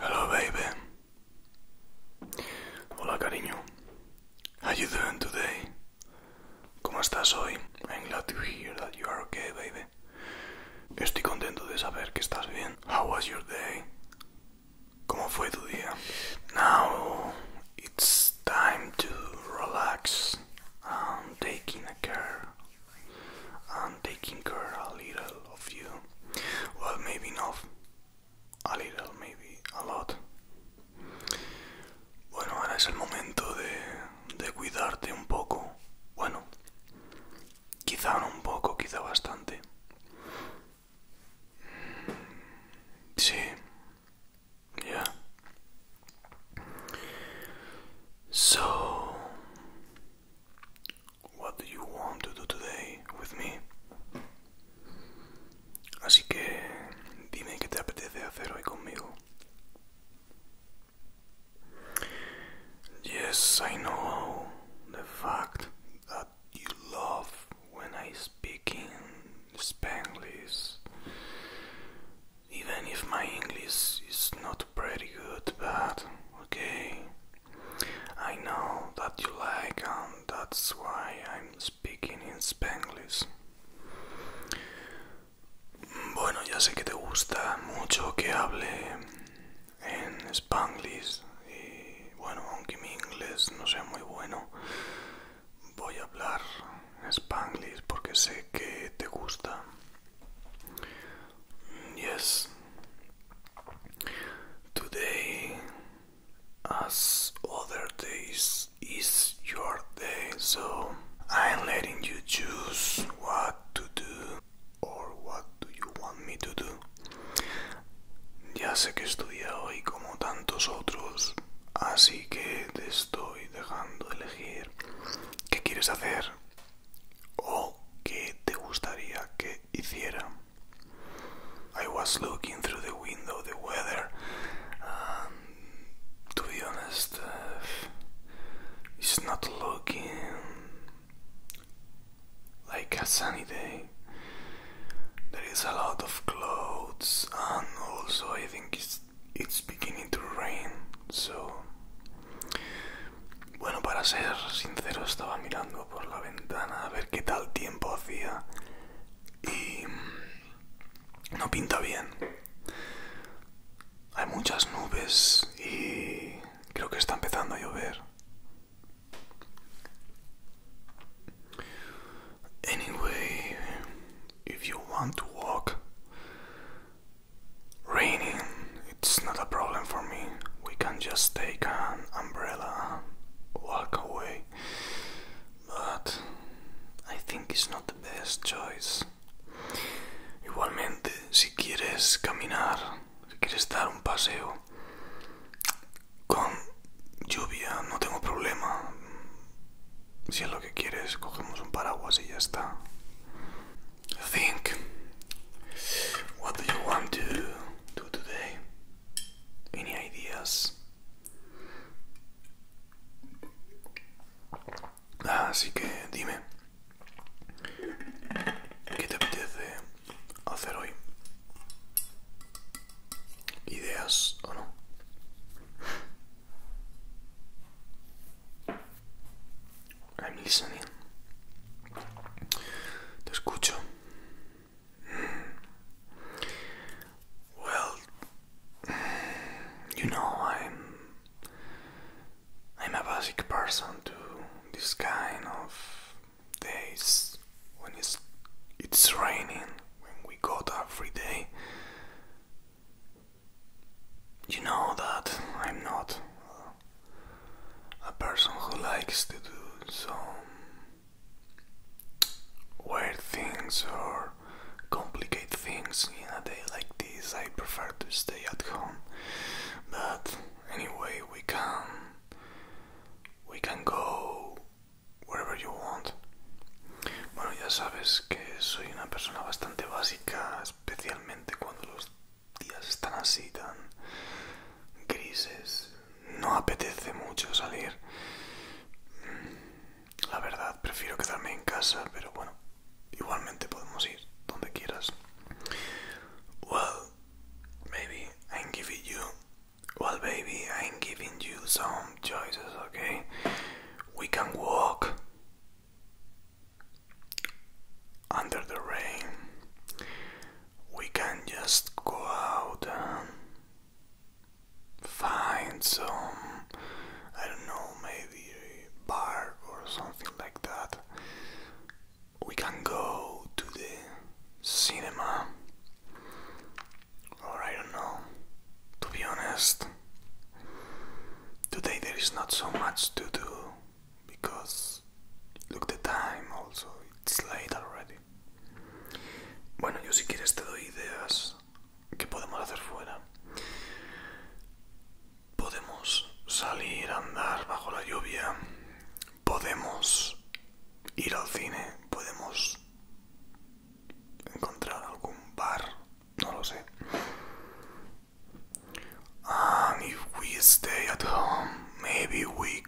Hello, baby. Hola, cariño. How you doing today? ¿Cómo estás hoy? I'm glad to hear that you are okay, baby. Estoy contento de saber que estás bien. How was your day? ¿Cómo fue tu día? Now it's time to relax. and taking a care. I'm taking care a little of you. Well, maybe not. A little, maybe a lot. Bueno, ahora es el momento de, de cuidarte un poco. Bueno, quizá un poco, quizá bastante. Yeah. So, what do you want to do today with me? Así que dime qué te apetece hacer hoy conmigo. Yes, I know the fact that you love when I speak in Spanglish. Even if my English is not pretty good, but okay. I know that you like, and that's why I'm speaking in Spanglish. Bueno, ya sé que te gusta mucho que hable en Spanglish y bueno, aunque mi inglés no sea muy bueno, voy a hablar spanglish porque sé que te gusta. Yes. Today, as other days, is your day, so I'm letting you choose what to do or what do you want me to do. Ya sé que estudia hoy como tantos otros, así que te estoy dejando elegir qué quieres hacer o qué te gustaría que hiciera. I was looking through the window the weather. Um, to be honest, uh, it's not looking like a sunny day. There is a lot of clouds, and also I think it's, it's beginning to rain. So, bueno, para ser sincero, estaba mirando por la ventana a ver qué tal tiempo hacía y mm, no pinta bien. Hay muchas nubes y creo que está empezando a llover. Anyway, if you want to walk, raining, it's not a problem for me. We can just take an umbrella and walk away. But I think it's not the best choice. Igualmente, si quieres caminar si quieres dar un paseo con lluvia, no tengo problema. Si es lo que quieres, cogemos un paraguas y ya está. Think. What do you want to do today? Any ideas? Ah, así que dime. ¿Qué te apetece? hacer hoy. Ideas o no. I'm listening. Te escucho. Well, you know I'm I'm a basic person to this kind of days when it's raining when we go got every day you know that I'm not a person who likes to do some weird things or complicate things in a day like this. I prefer to stay at home. But anyway, we can We can go wherever you want. Bueno, ya sabes que soy una persona bastante básica, especialmente cuando los días están así tan grises. No apetece mucho salir. Mm, la verdad, prefiero quedarme en casa, pero bueno, igualmente podemos ir donde quieras. well, maybe I'm giving you. Well, baby, I'm giving you some choices, okay? We can walk under the rain. We can just go out and find some, I don't know, maybe a bar or something like that. we can go to the cinema or I don't know. To be honest, today there is not so much to do because look the time also, it's late already. Bueno, yo si quieres te doy ideas que podemos hacer fuera. Podemos salir a andar bajo la lluvia. Podemos ir al cine, podemos encontrar algún bar, no lo sé. And if we stay at home, maybe we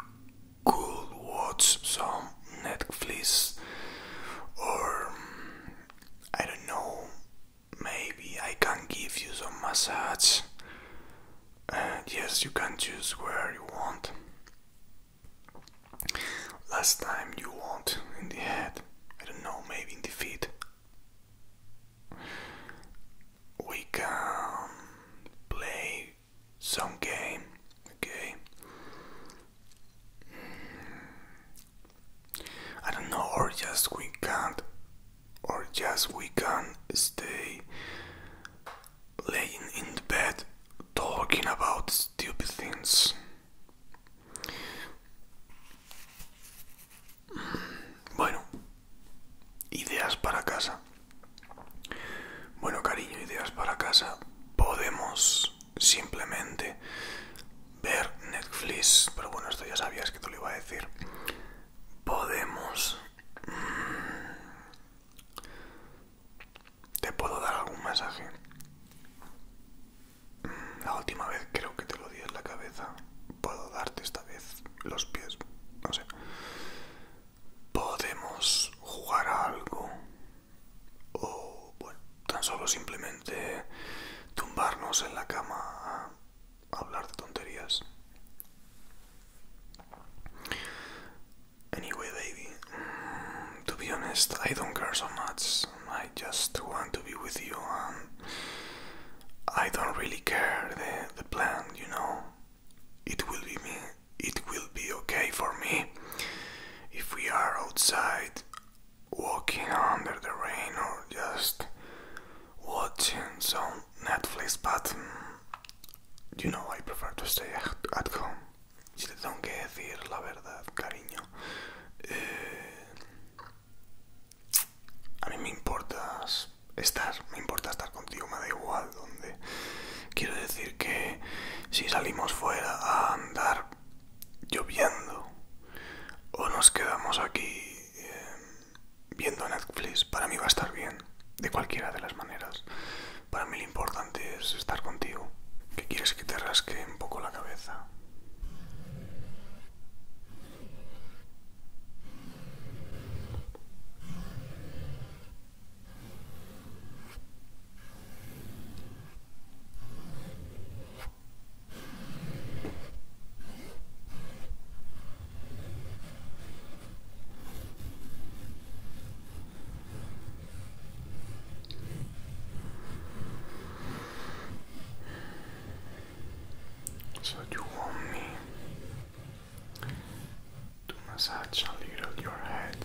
could watch some Netflix or I don't know, maybe I can give you some massage. and yes you can choose where you want last time you want in the head i don't know maybe in the feet we can play some game okay I don't know, or just we can't, or just we can stay laying in the bed talking about stupid things. Bueno, ideas para casa. Bueno, cariño, ideas para casa. Podemos simplemente ver Netflix, pero bueno, esto ya sabías que te lo iba a decir. Podemos mm, ¿Te puedo dar algún mensaje? Mm, la última vez creo que te lo di en la cabeza. Puedo darte esta vez los pies. No sé. Podemos jugar a algo. O, bueno, tan solo simplemente tumbarnos en la cama a hablar de tonterías. Anyway, baby, to be honest, I don't care so much. I just want to be with you, and I don't really care the, the plan, you know. It will be me. It will be okay for me if we are outside, walking under the rain, or just watching some Netflix, but mm, you know I prefer to stay at home. Si te tengo que decir la verdad, cariño, eh, a mí me importa estar, me importa estar contigo, me da igual donde. Quiero decir que si salimos fuera a andar lloviendo o nos quedamos aquí eh, viendo Netflix para mí va a estar bien, de cualquiera de las maneras. Para mí lo importante es estar contigo, que quieres que te rasque un poco la cabeza. So, you want me to massage a little your head?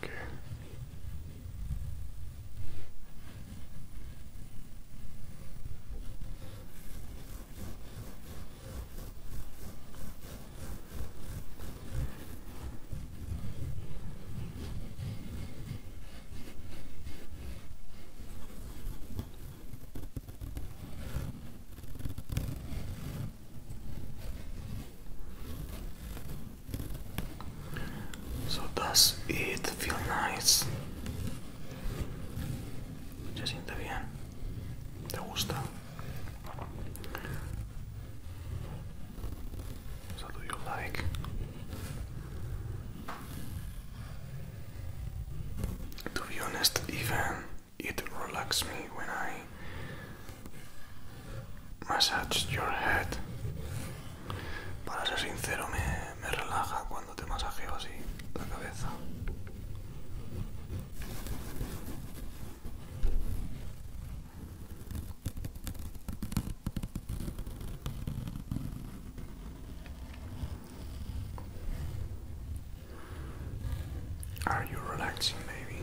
Okay. So does it feel nice Se siente bien. ¿Te gusta? So do you like? To be honest, even it relaxes me when I massage your head. Para ser sincero, me me relaja cuando te masajeo así la cabeza. Are you relaxing, baby?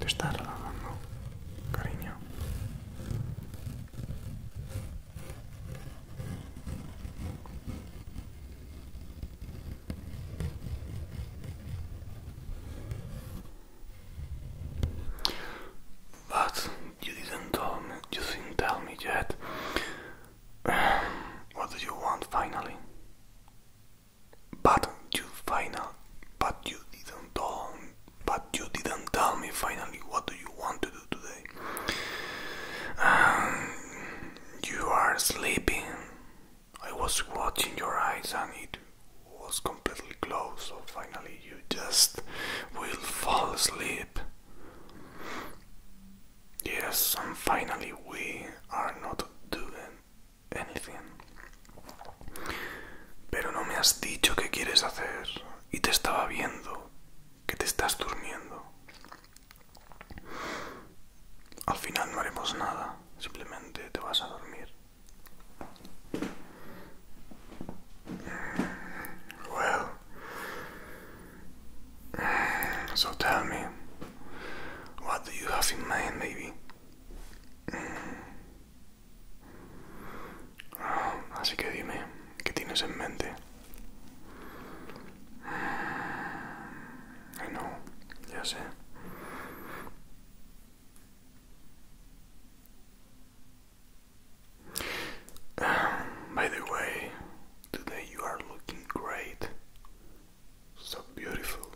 ¿Te estás relajando, cariño? But you didn't tell me, you didn't tell me yet. what do you want finally? But you final, but you didn't tell, but you didn't tell me finally what do you want to do today. Um, you are sleeping. I was watching your eyes and it was completely closed, so finally you just will fall asleep. Yes, and finally we are not doing anything. Pero no me has dicho qué quieres hacer y te estaba viendo. que te estás durmiendo. Al final no haremos nada, simplemente te vas a dormir. Well, so tell me, what do you have baby? Así que dime, ¿qué tienes en mente? I know, yes, eh? by the way, today you are looking great, so beautiful.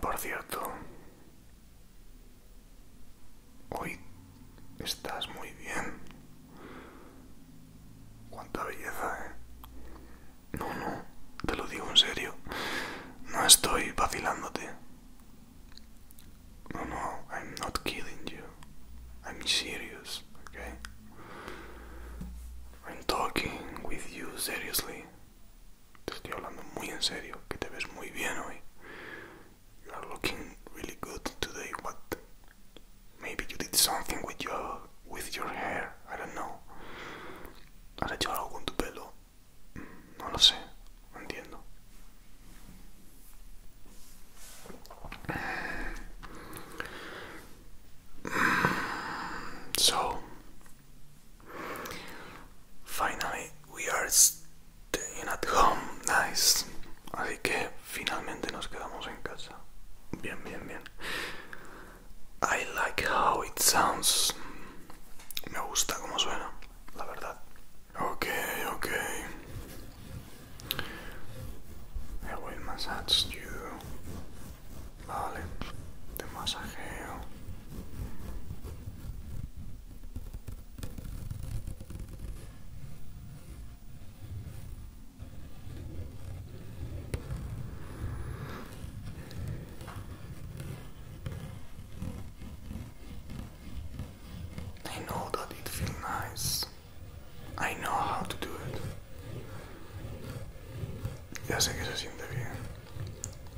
Por Hoy estás muy bien. Cuánta belleza, ¿eh? No, no, te lo digo en serio. No estoy vacilándote. No, no, I'm not kidding you. I'm serious, okay? I'm talking with you seriously. Te estoy hablando muy en serio, que te ves muy bien hoy. you are looking really good today, but maybe you did something with your with your hair. I don't know. Has hecho algo con tu pelo? Mm, no lo sé. No mm, So finally, we are Staying at home, nice. Así que finalmente nos quedamos en casa. Bien, bien, bien. I like how it sounds. Me gusta cómo suena, la verdad. Ok, ok. I will massage you. Vale, te masajeo. I know that it feels nice. I know how to do it. Ya sé que se siente bien.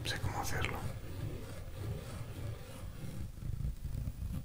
Sé cómo hacerlo.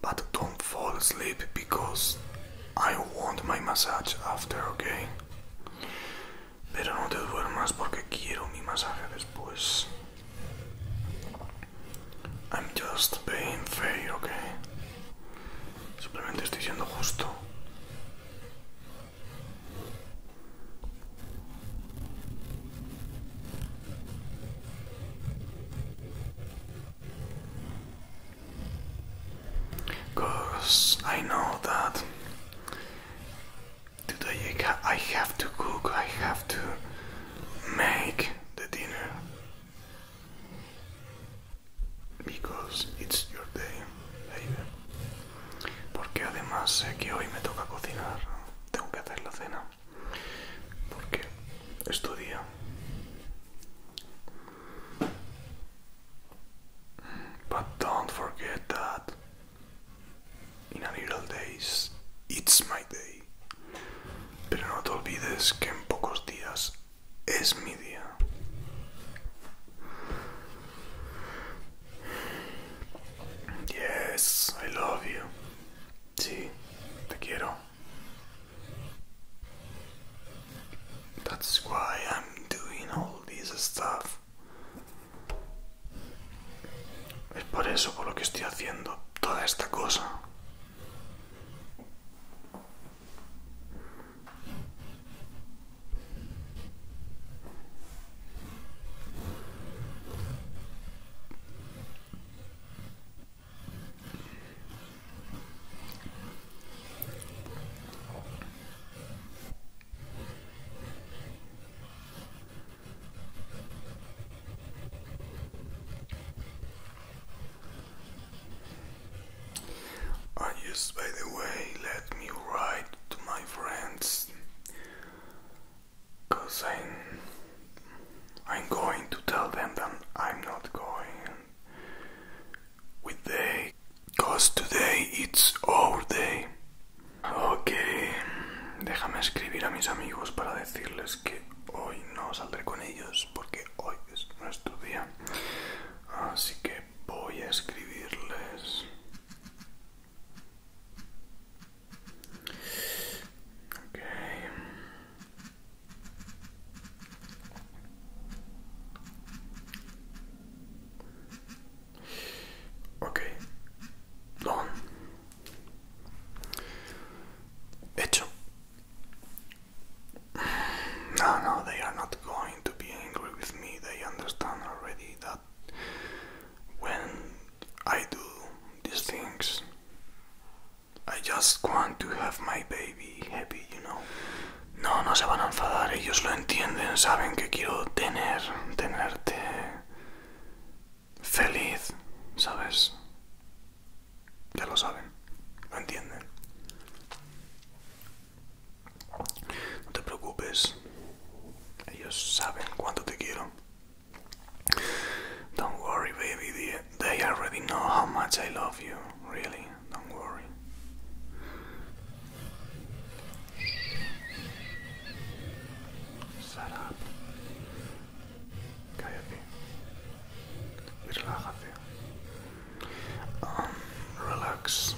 But don't fall asleep because I want my massage after, okay? Pero no te duermas porque quiero mi masaje después. I'm just being fair, okay? Simplemente estoy siendo justo. Cause I know that today I, have to cook, I have to make the dinner because it's your day, baby. Porque además sé hoy me toca cocinar, tengo que hacer la cena. Porque es But don't forget that in a little days it's my day. Pero no te olvides que en pocos días es mi día. Yes, I love you. Sí, te quiero. That's Es por eso por lo que estoy haciendo toda esta cosa. I just, by the way, let me write to my friends, cause I'm I'm going to tell them that I'm not going with they, cause today it's our day. Okay, déjame escribir a mis amigos para decirles que hoy no saldré con ellos porque hoy es nuestro día. Así que voy a escribirles. Okay. Ok, no. Hecho. No, no, they are not going to be angry with me. They understand already that when I do these things, I just want to have my baby happy, you know. No, no se van a enfadar, ellos lo entienden, saben que quiero tener, tenerte feliz, ¿sabes? Ya lo saben, lo entienden. No te preocupes, ellos saben cuánto te quiero. Don't worry, baby. They already know how much I love you. Really, don't worry. Shut up. Cállate. Um, relax.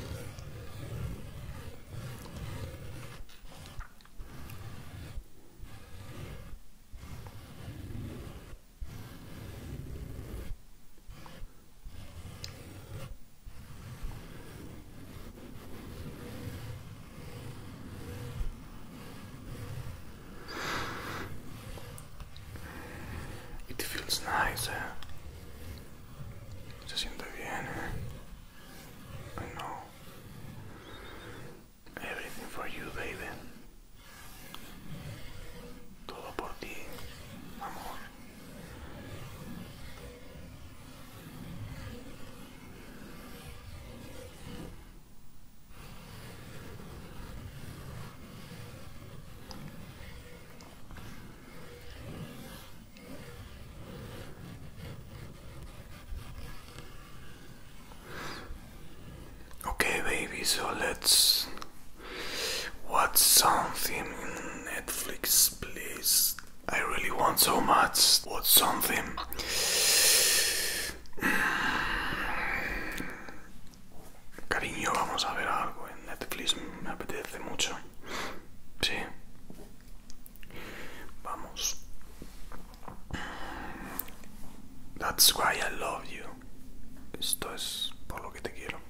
It feels nice, eh? Se siente bien, eh? I know. Everything for you, baby. Todo por ti, amor. Okay, baby, so let's watch something in Netflix, please. I really want so much. Watch something. Mm. Cariño, vamos a ver algo en Netflix, me apetece mucho. Sí. Vamos. That's why I love you. Esto es por lo que te quiero.